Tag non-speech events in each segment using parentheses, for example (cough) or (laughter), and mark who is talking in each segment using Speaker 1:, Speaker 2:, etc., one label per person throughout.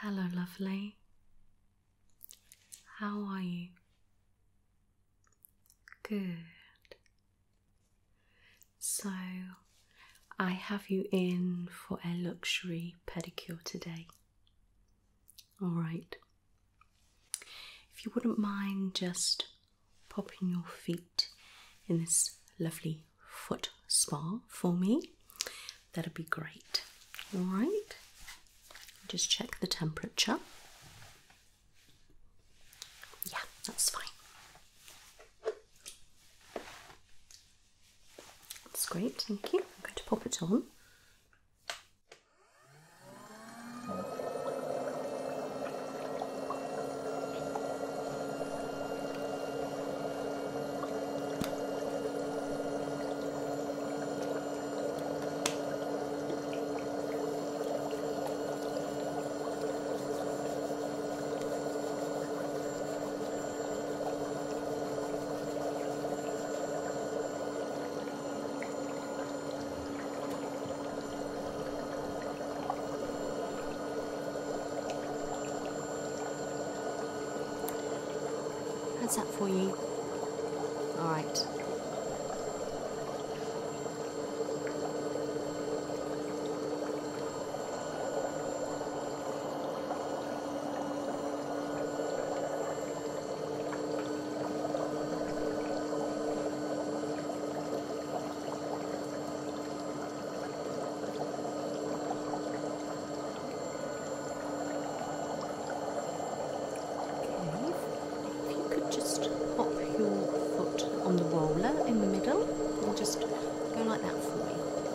Speaker 1: Hello, lovely. How are you? Good. So, I have you in for a luxury pedicure today. Alright. If you wouldn't mind just popping your feet in this lovely foot spa for me, that'd be great. Alright. Just check the temperature. Yeah, that's fine. That's great, thank you. I'm going to pop it on. That's that for you. All right your foot on the roller in the middle and just go like that for me.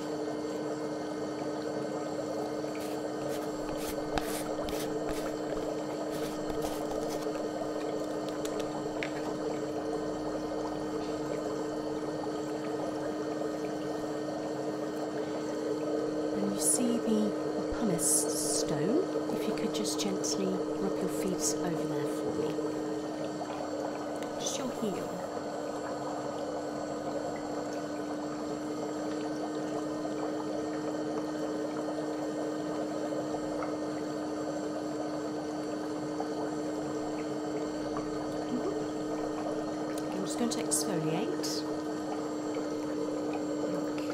Speaker 1: And you see the, the pumice stone, if you could just gently rub your feet over there for me. Just your heel. I'm just going to exfoliate. Okay.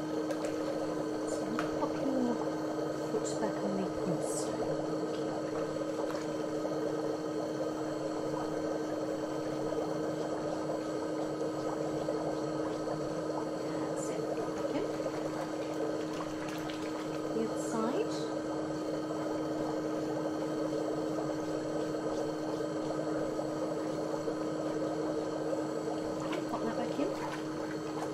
Speaker 1: So pop your back on the inkstone. That's it. Okay. The other side. Pop that back in.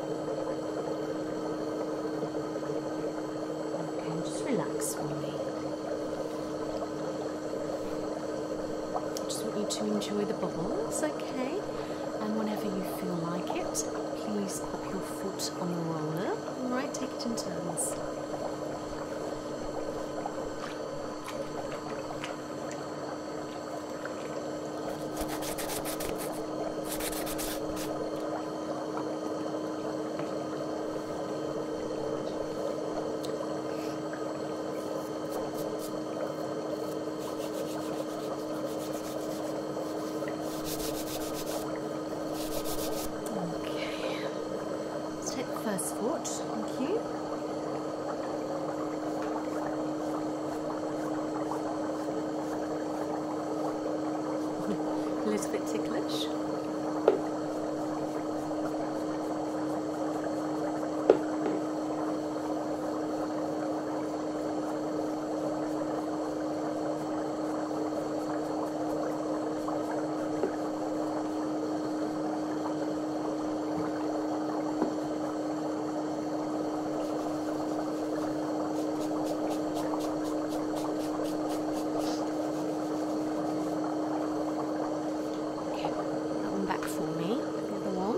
Speaker 1: Okay, just relax for me. I just want you to enjoy the bubbles, okay? And whenever you feel like it, please pop your foot on the roller. Right, take it in turns. Okay. Let's take the first foot. Thank you. A little bit ticklish. Okay, that one back for me, the other one.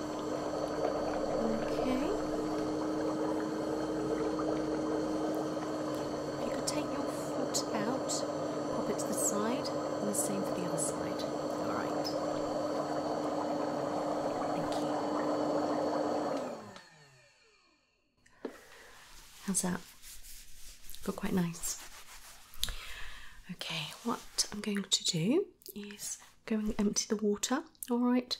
Speaker 1: Okay. If you could take your foot out, pop it to the side, and the same for the other side. Alright. Thank you. How's that? Feel quite nice. Okay, what I'm going to do is going empty the water, alright?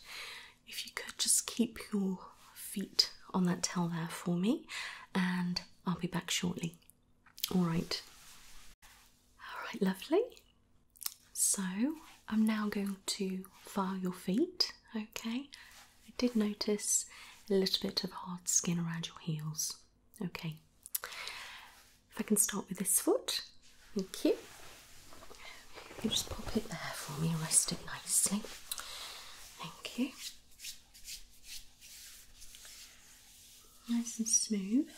Speaker 1: If you could just keep your feet on that towel there for me, and I'll be back shortly. Alright. Alright, lovely. So I'm now going to file your feet, okay? I did notice a little bit of hard skin around your heels. Okay. If I can start with this foot, thank you. just pop it there for me, rest it nicely. Thank you. Nice and smooth,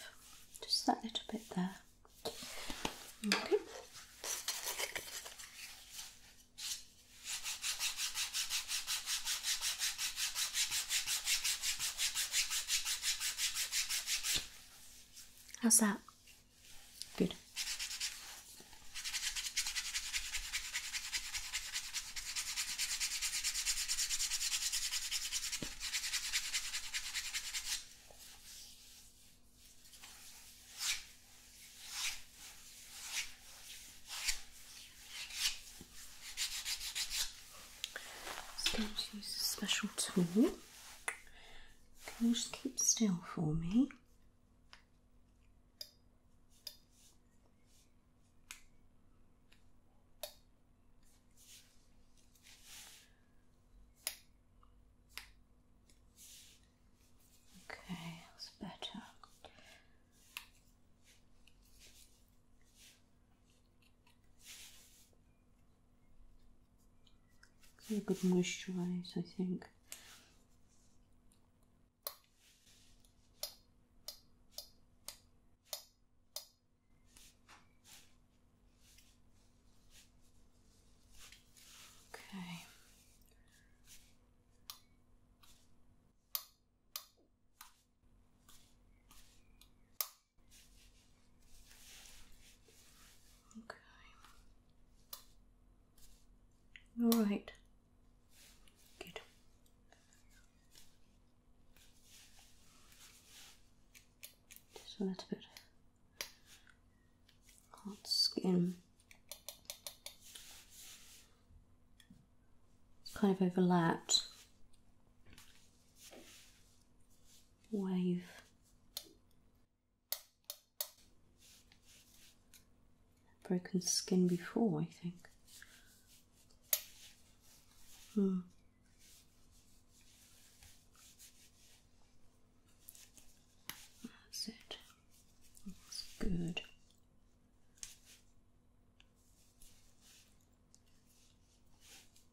Speaker 1: just that little bit there. Okay. How's that? Good. going to use a special tool. Can you just keep still for me? Okay, that's better a good moisturizer, I think. Okay. Okay. All right. Good. Just a little bit hot skin. It's kind of overlapped wave. Broken skin before, I think. Hmm. That's it. That's good.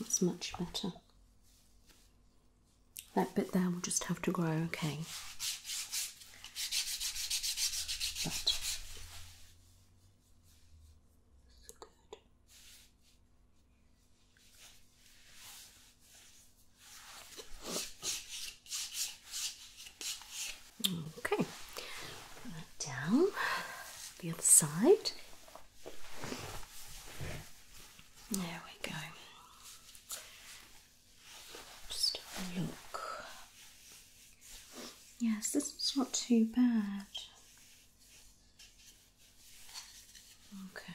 Speaker 1: That's much better. That bit there will just have to grow okay. But Good. Okay, down the other side. There we go. Just look. Yes, this is not too bad. Okay,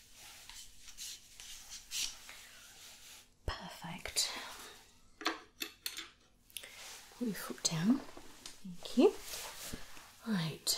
Speaker 1: Perfect. Put your foot down. Thank you. All right.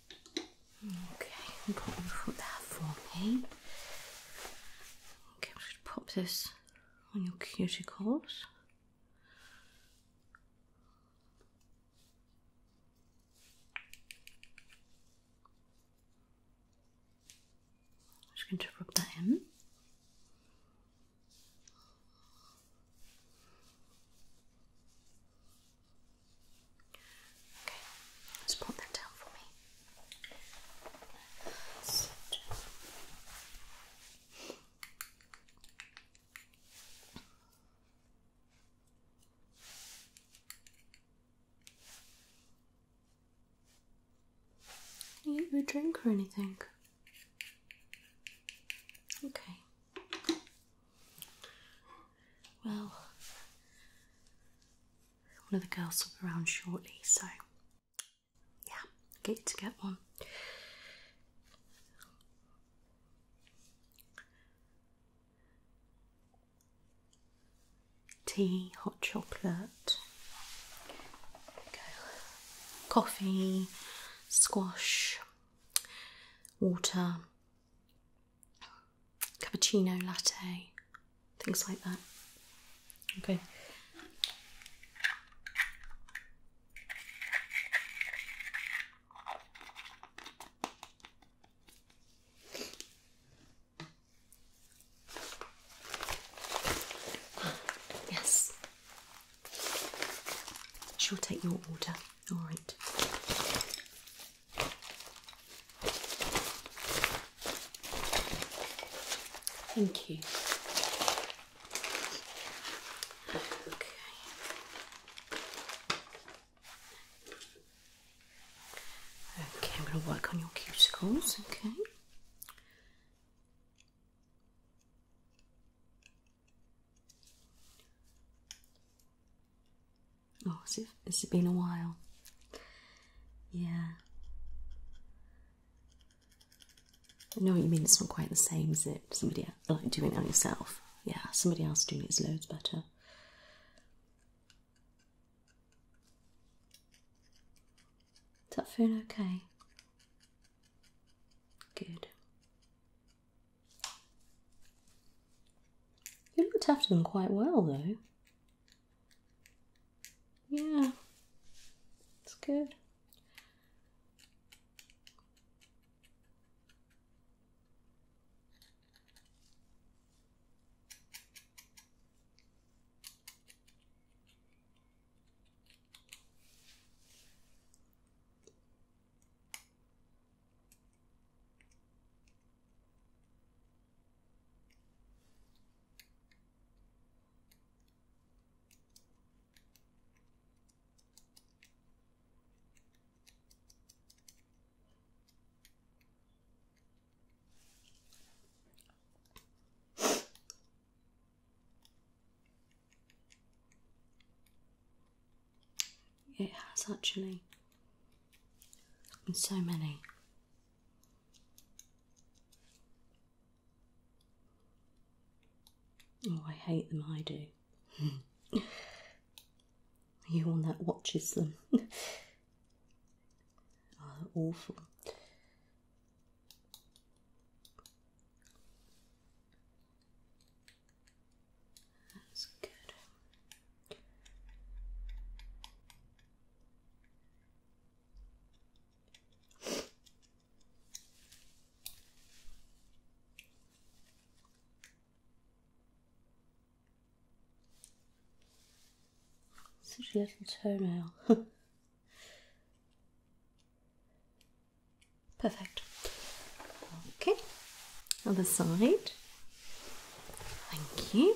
Speaker 1: Okay, pop your foot there for me. Okay, I'm gonna pop this on your cuticles. I'm just going to rub that in. Okay, just put that down for me. Sit a drink or anything? Okay. Well, one of the girls will be around shortly, so yeah, get to get one. Tea, hot chocolate, coffee, squash, water, cappuccino latte, things like that. Okay. Yes. She'll take your order. All right. Thank you. Okay. Okay, I'm going to work on your cuticles, okay? Oh, it's, it's been a while. Yeah. I know what you mean, it's not quite the same, as it? Somebody like doing it on yourself. Yeah, somebody else doing it is loads better. Is that phone okay? Good. You looked after them quite well though. Yeah, it's good. It has actually and so many. Oh, I hate them, I do. (laughs) you one that watches them. (laughs) oh, awful. That's good. Such a little toenail. (laughs) Perfect. Okay, other side. Thank you.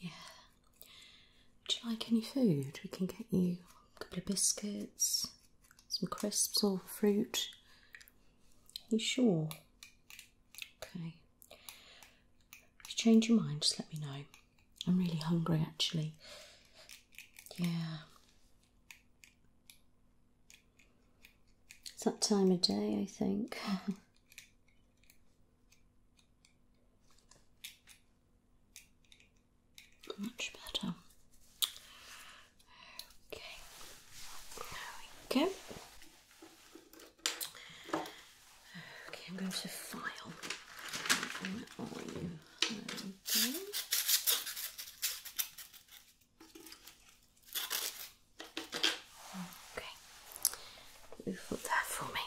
Speaker 1: Yeah. Would you like any food? We can get you a couple of biscuits, some crisps or fruit. you sure? Okay. If you change your mind, just let me know. I'm really hungry actually. Yeah. It's that time of day, I think. (laughs) Much better. Okay, there we go. Okay, I'm going to file. Okay, you put that for me.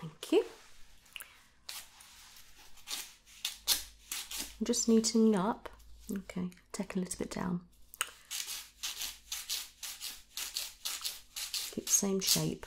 Speaker 1: Thank you. Just neatening up. Okay, take a little bit down. Keep the same shape.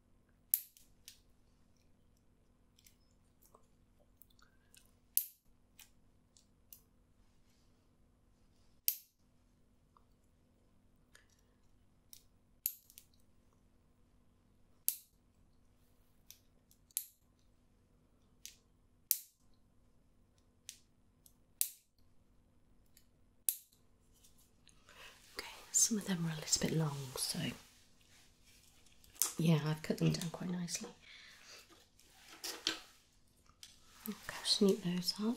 Speaker 1: Okay, some of them are a little bit long, so yeah, I've cut them down quite nicely. Okay, just neat those up.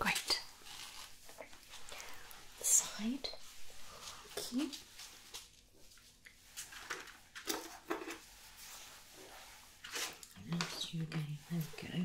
Speaker 1: Great. The side key. Unless you go, there we go.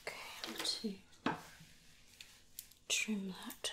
Speaker 1: Okay, I'm to trim that.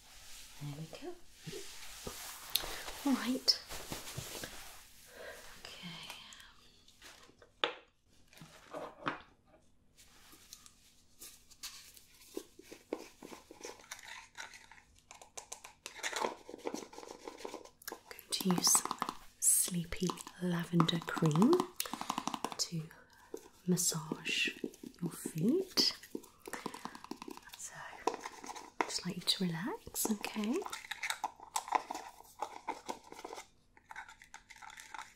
Speaker 1: There we go. All right. Okay. I'm going to use some sleepy lavender cream to massage your feet. So, just like you to relax, okay?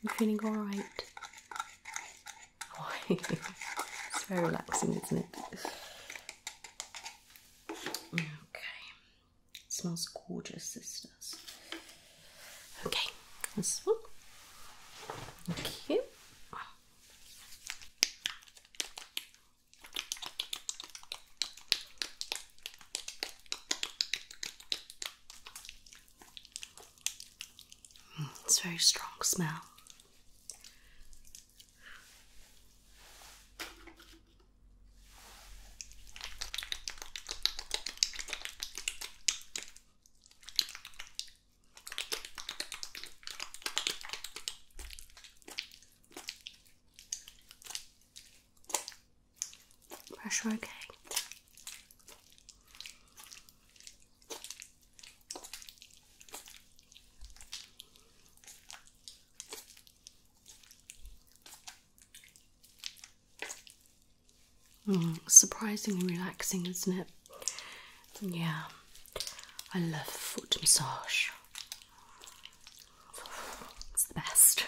Speaker 1: You feeling alright? (laughs) it's very relaxing, isn't it? Okay. It smells gorgeous, sisters. Okay, this one. Thank Mm, it's a very strong smell. Pressure okay. Mm, surprisingly relaxing, isn't it? Yeah, I love foot massage. It's the best.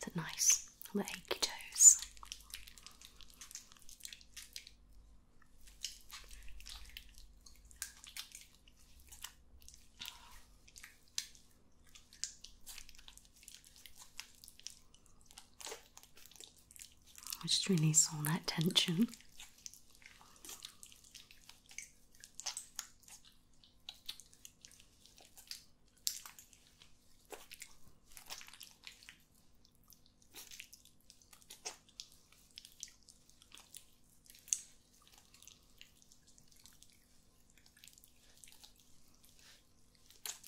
Speaker 1: Is it nice on achy toes? Just release all that tension.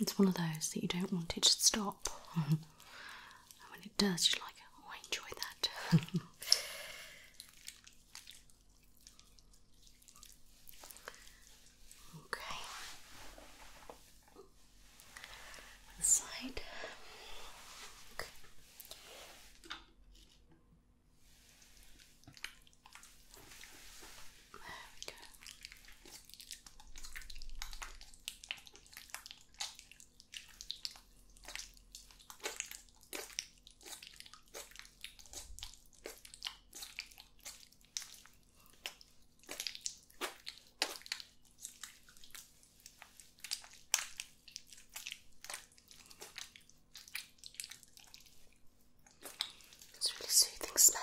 Speaker 1: It's one of those that you don't want it to stop. (laughs) and when it does, you're like, oh, I enjoy that. (laughs) Okay. One There we go. It's really soothing smell.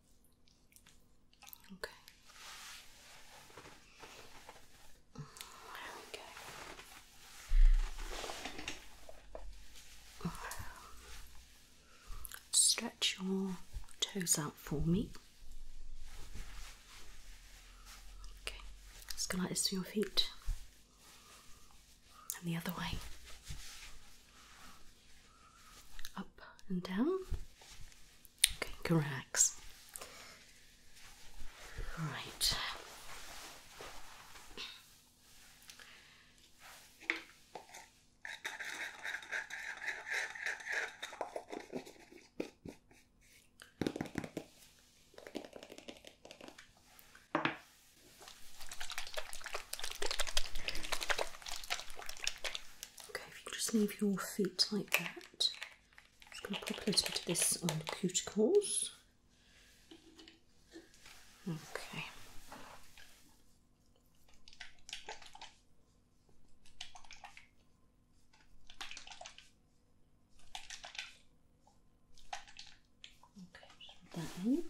Speaker 1: Okay. There Stretch your toes out for me. Okay, let's go like this to your feet and the other way. Up and down. Okay, corrects. can Okay, if you just leave your feet like that, I'm just going to pop a little bit of this on the cuticles. Okay. Okay, just that in.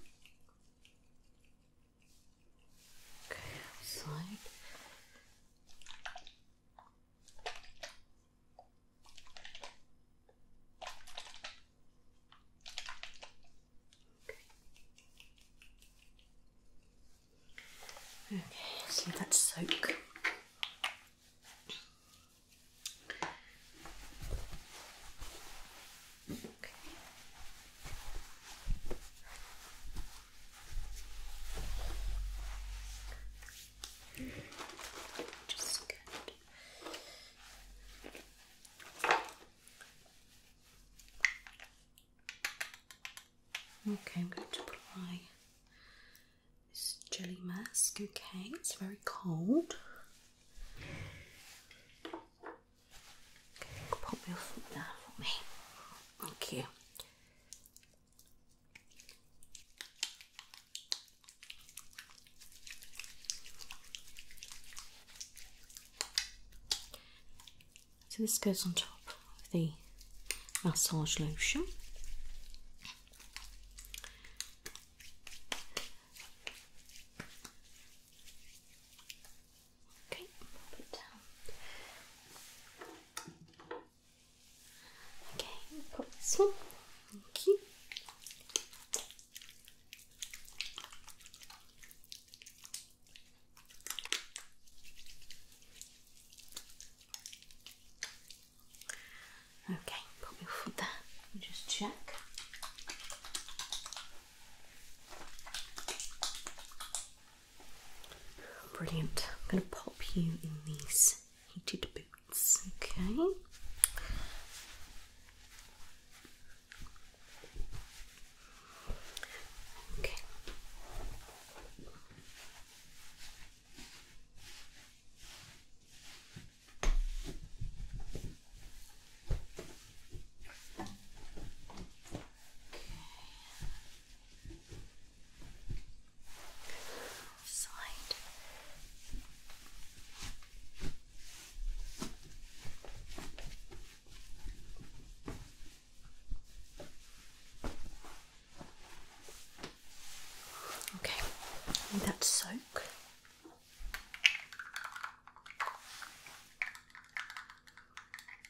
Speaker 1: Okay, outside. Okay, okay so that's soak. Okay. Just good. Okay, I'm going to apply this jelly mask. Okay, it's very cold. Okay, pop your foot for me. Okay. So this goes on top of the massage lotion. Okay, pop it down. Okay, pop this one. Thank you. Okay, put your foot there just check. Brilliant. I'm going to pop you in these heated boots, okay? Side. Okay, need that soak.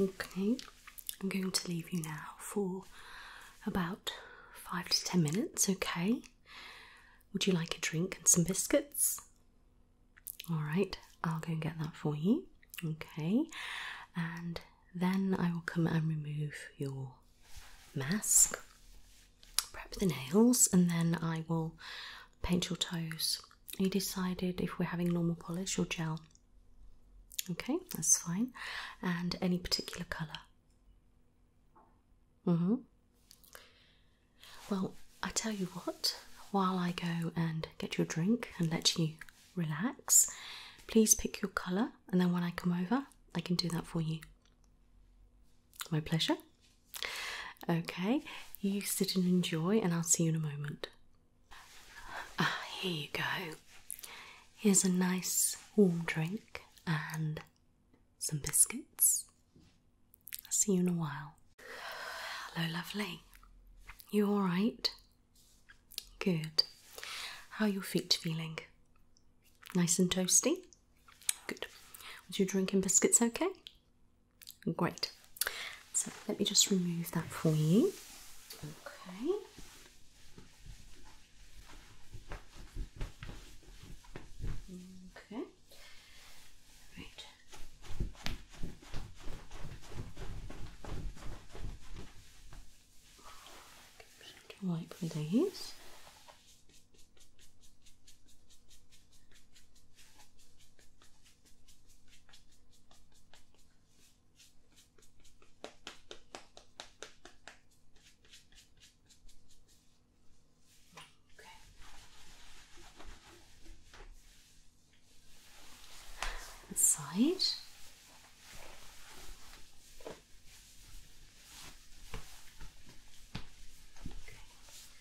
Speaker 1: Okay, I'm going to leave you now for about five to ten minutes, okay? Would you like a drink and some biscuits? Alright, I'll go and get that for you, okay? And then I will come and remove your mask prep the nails and then I will paint your toes. You decided if we're having normal polish or gel. Okay, that's fine. And any particular colour? hmm. Well, I tell you what, while I go and get your drink and let you relax, please pick your colour and then when I come over, I can do that for you. My pleasure. Okay, you sit and enjoy, and I'll see you in a moment. Ah, here you go. Here's a nice warm drink and some biscuits. I'll see you in a while. Hello, lovely. You alright? Good. How are your feet feeling? Nice and toasty? Good. Was your drinking biscuits okay? Great. So let me just remove that for you. Okay. Okay. Right. Wipe these. Okay. Inside.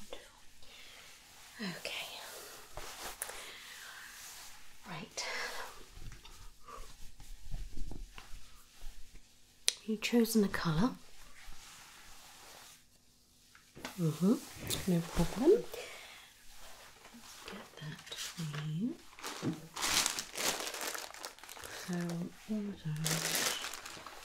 Speaker 1: Wonderful. Okay. Right. you chosen a colour. hmm No problem. Let's get that So all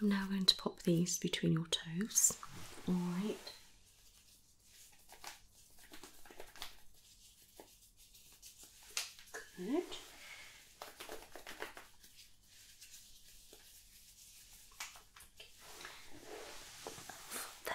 Speaker 1: I'm now going to pop these between your toes. All right. Good. There.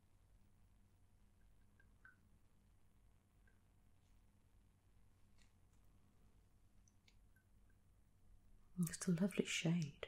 Speaker 1: It's a lovely shade.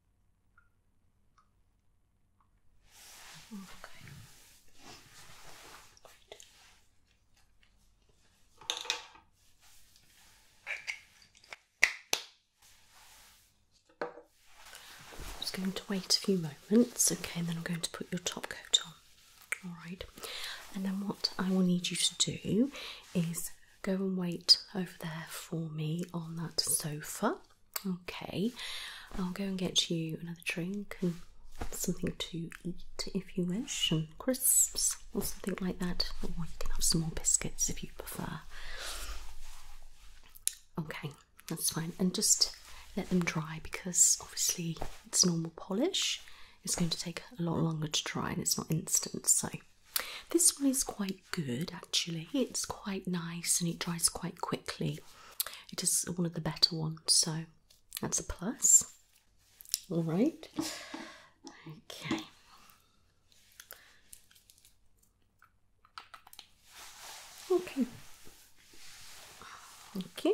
Speaker 1: I'm just going to wait a few moments, okay, and then I'm going to put your top coat on. Alright. And then what I will need you to do is go and wait over there for me on that sofa. Okay, I'll go and get you another drink and something to eat if you wish, and crisps or something like that. Or you can have some more biscuits if you prefer. Okay, that's fine. And just let them dry because obviously it's normal polish. It's going to take a lot longer to dry and it's not instant. So, this one is quite good actually. It's quite nice and it dries quite quickly. It is one of the better ones, so that's a plus. All right. Okay. Okay. Okay.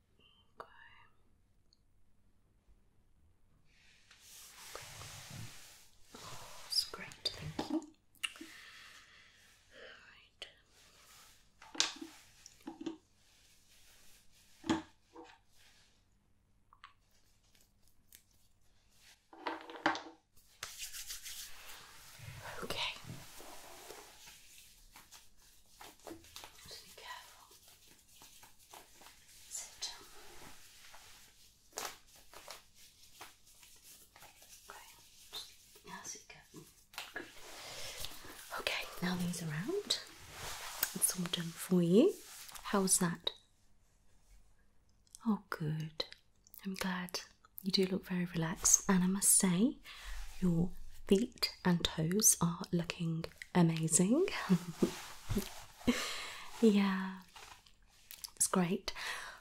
Speaker 1: Okay. Okay. Oh, that's great, thank you. Alright. Okay. Okay. How's it going? Okay, now these are out. It's all done for you. How's that? Oh, good. I'm glad. You do look very relaxed, and I must say, your feet and toes are looking amazing. (laughs) yeah, it's great.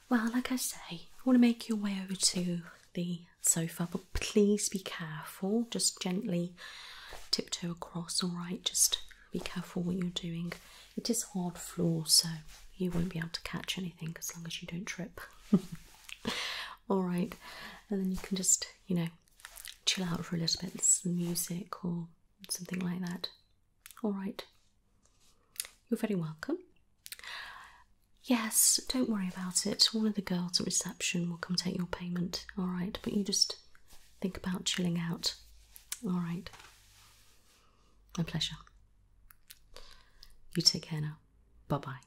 Speaker 1: Well, like I say, you want to make your way over to the sofa, but please be careful. Just gently tiptoe across, alright? Just be careful what you're doing. It is hard floor, so you won't be able to catch anything as long as you don't trip. (laughs) all right and then you can just you know chill out for a little bit some music or something like that all right you're very welcome yes don't worry about it one of the girls at reception will come take your payment all right but you just think about chilling out all right my pleasure you take care now bye bye